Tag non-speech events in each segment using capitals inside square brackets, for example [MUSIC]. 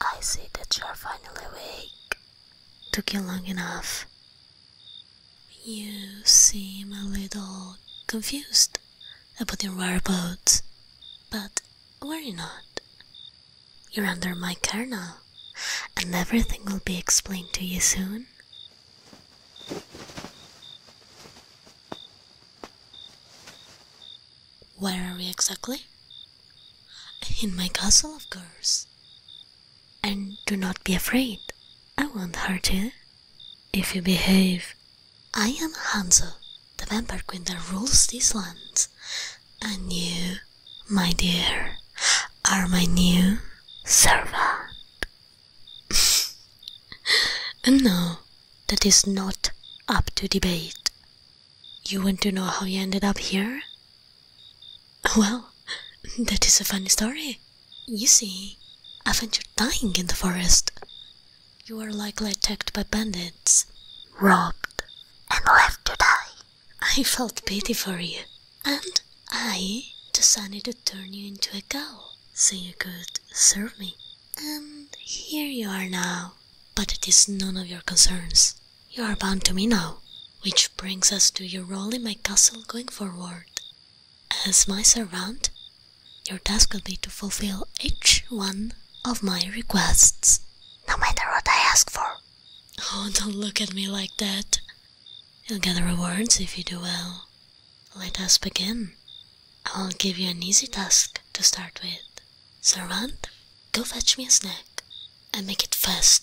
I see that you are finally awake. Took you long enough. You seem a little confused about your whereabouts, but worry not. You're under my care now, and everything will be explained to you soon. Where are we exactly? In my castle, of course. And do not be afraid, I won't hurt you. If you behave, I am Hansel, the vampire queen that rules these lands, and you, my dear, are my new servant. and [LAUGHS] no, that is not up to debate. You want to know how you ended up here? Well, [LAUGHS] that is a funny story. You see, I found you dying in the forest you are likely attacked by bandits, robbed, and left to die. I felt pity for you, and I decided to turn you into a cow so you could serve me. And here you are now, but it is none of your concerns. You are bound to me now, which brings us to your role in my castle going forward. As my servant, your task will be to fulfill each one of my requests. No matter what I ask for. Oh, don't look at me like that. You'll get rewards if you do well. Let us begin. I'll give you an easy task to start with. Servant, go fetch me a snack and make it fast.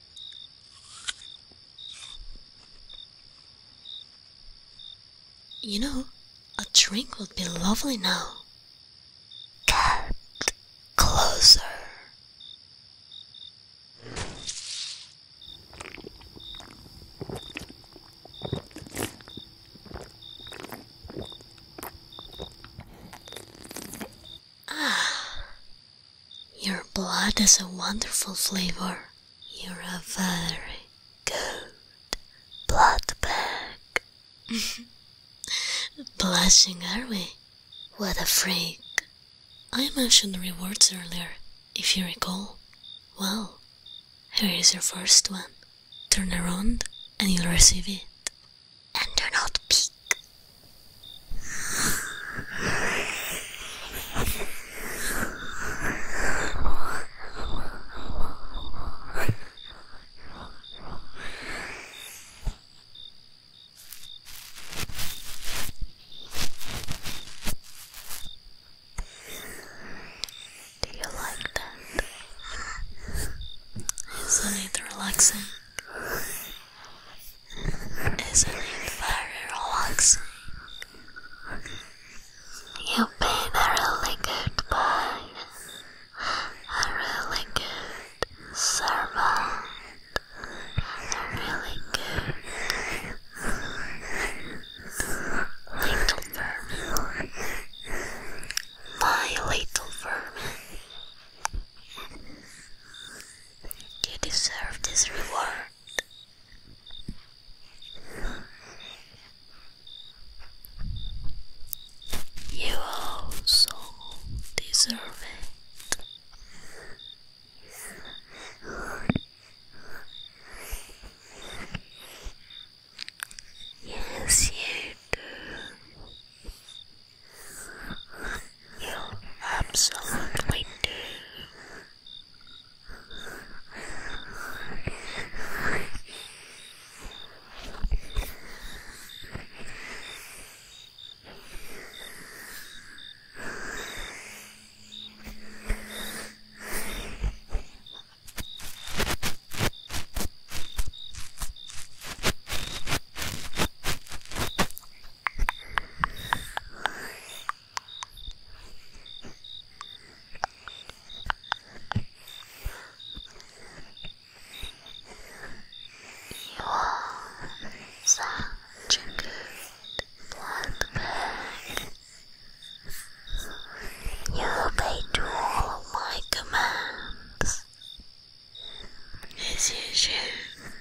You know, a drink would be lovely now. Get closer. Ah, [SIGHS] your blood has a wonderful flavor. You're a very good blood bag. [LAUGHS] Blushing, are we? What a freak. I mentioned rewards earlier, if you recall. Well, here is your first one. Turn around and you'll receive it and do not peek. Do you like that? Isn't it relaxing? Isn't it very relaxing? You've been a really good boy, a really good servant, a really good little vermin. My little vermin. You deserve this reward. You also deserve it. Yes, you do. You absolutely do. You are such a good blackbird. You obey to all of my commands. As you should.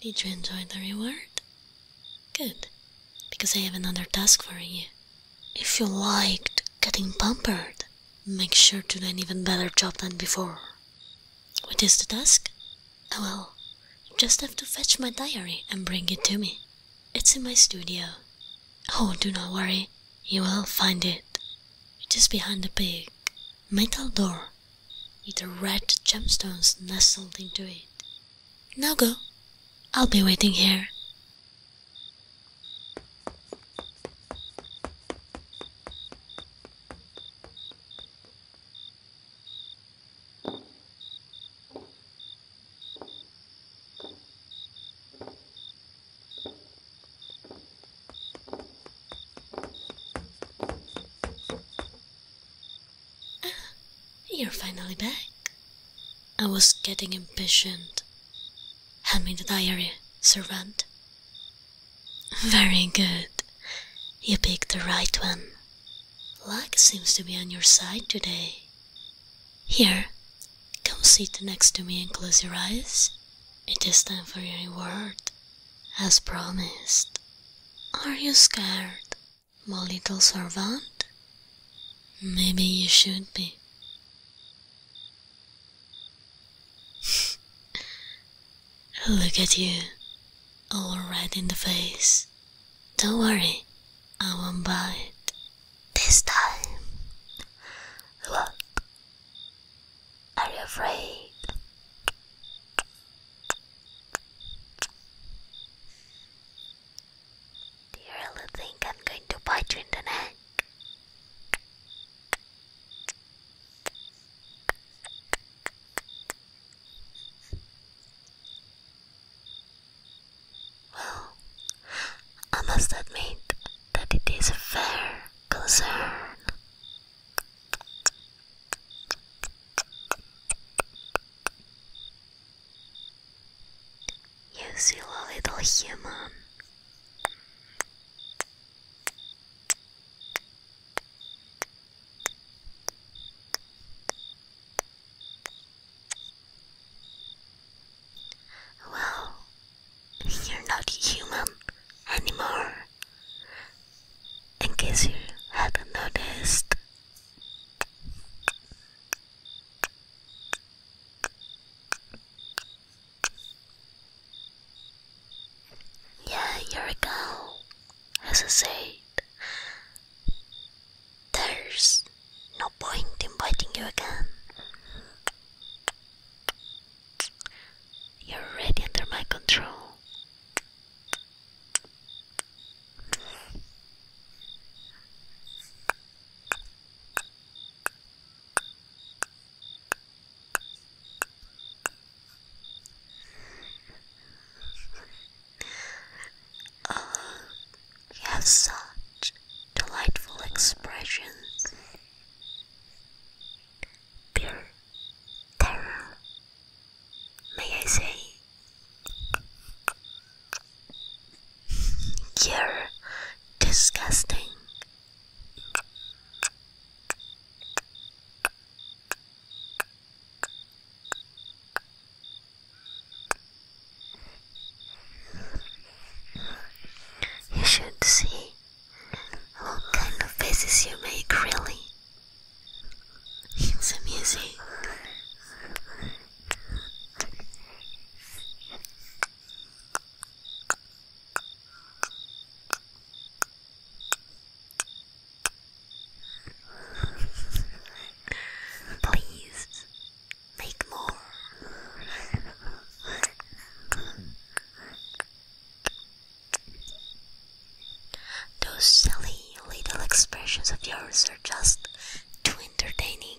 Did you enjoy the reward? Good, because I have another task for you. If you liked getting pampered, make sure to do an even better job than before. What is the task? Oh well, just have to fetch my diary and bring it to me. It's in my studio. Oh, do not worry, you will find it. Just behind the big metal door with the red gemstones nestled into it. Now go, I'll be waiting here. You're finally back. I was getting impatient. Hand me the diary, servant. Very good. You picked the right one. Luck seems to be on your side today. Here, come sit next to me and close your eyes. It is time for your reward, as promised. Are you scared, my little servant? Maybe you should be. [SIGHS] Look at you, all red in the face. Don't worry, I won't bite. This time. Look. Are you afraid? Do you really think I'm going to bite you in the neck? Well, I must admit that it is a fair concern. You a little human. Well, you're not human anymore. In case you hadn't noticed. Yeah, here we go. As I said, there's no point in biting you again. You're already under my control you have such delightful expressions. Dear Tara, may I say? you disgusting. You should see what kind of faces you make, really. It's amusing. Please make more. Those silly little expressions of yours are just too entertaining.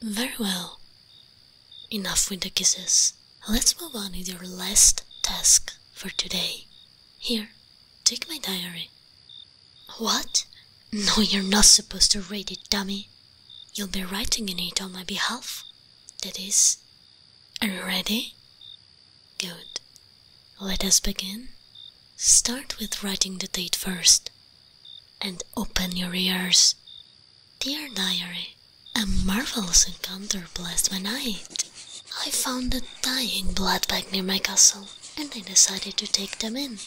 Very well. Enough with the kisses. Let's move on with your last task for today. Here, take my diary. What? No, you're not supposed to read it, dummy. You'll be writing in it on my behalf. That is. Are you ready? Good. Let us begin. Start with writing the date first. And open your ears. Dear Diary, a marvelous encounter blessed my night. I found a dying blood bag near my castle, and I decided to take them in.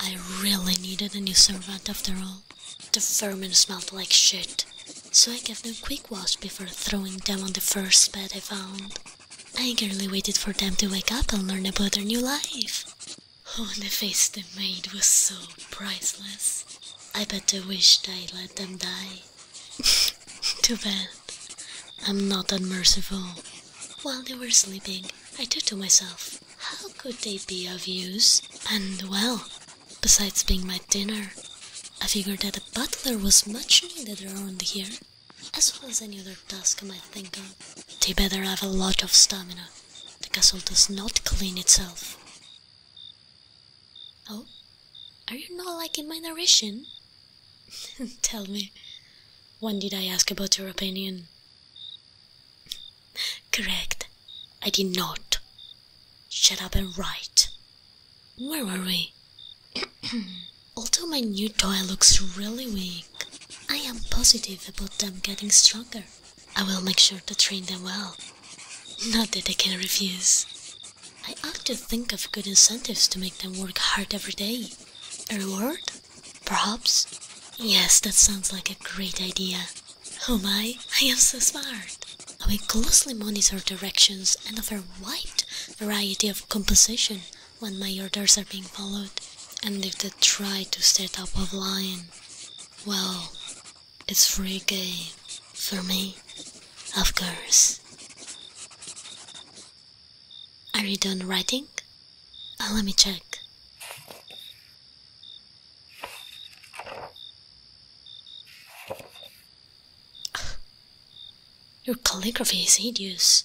I really needed a new servant after all. The vermin smelled like shit, so I gave them a quick wash before throwing them on the first bed I found. I eagerly waited for them to wake up and learn about their new life. Oh, the face they made was so priceless. I bet I wished I would let them die. [LAUGHS] Too bad. I'm not unmerciful. While they were sleeping, I thought to myself, how could they be of use? And well, besides being my dinner, I figured that a butler was much needed around here, as well as any other task I might think of. They better have a lot of stamina, the castle does not clean itself. Oh, are you not liking my narration? [LAUGHS] Tell me, when did I ask about your opinion? Correct, I did not. Shut up and write. Where were we? [CLEARS THROAT] Although my new toy looks really weak, I am positive about them getting stronger. I will make sure to train them well. Not that they can refuse. I ought to think of good incentives to make them work hard every day. A reward? Perhaps? Yes, that sounds like a great idea. Oh my, I am so smart. I will closely monitor directions and offer wide variety of composition when my orders are being followed. And if they try to set up a line, well, it's free game for me, of course. Are you done writing? Uh, let me check. Your calligraphy is hideous.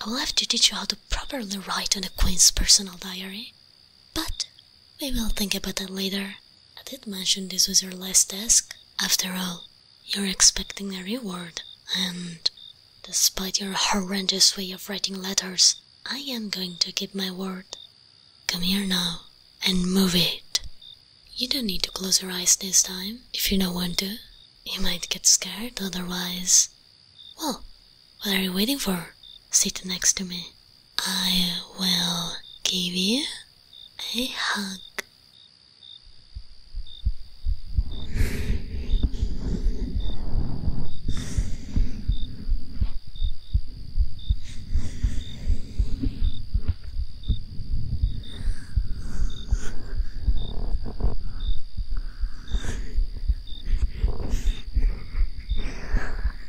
I will have to teach you how to properly write on the Queen's personal diary. But we will think about that later. I did mention this was your last task. After all, you're expecting a reward, and despite your horrendous way of writing letters, I am going to keep my word. Come here now and move it. You don't need to close your eyes this time if you don't want to. You might get scared otherwise. Well, what are you waiting for? Sit next to me. I will give you a hug.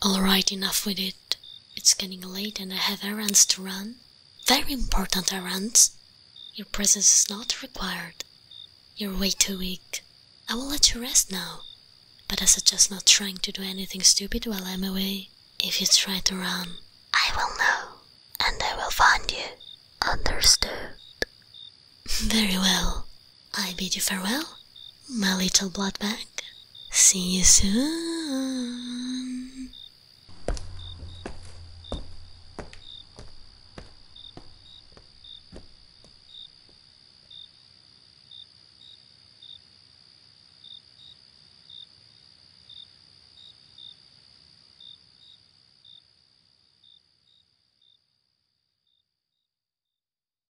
All right, enough with it. It's getting late and I have errands to run. Very important errands. Your presence is not required. You're way too weak. I will let you rest now. But I suggest not trying to do anything stupid while I'm away. If you try to run, I will know. And I will find you. Understood. [LAUGHS] Very well. I bid you farewell, my little blood bag. See you soon.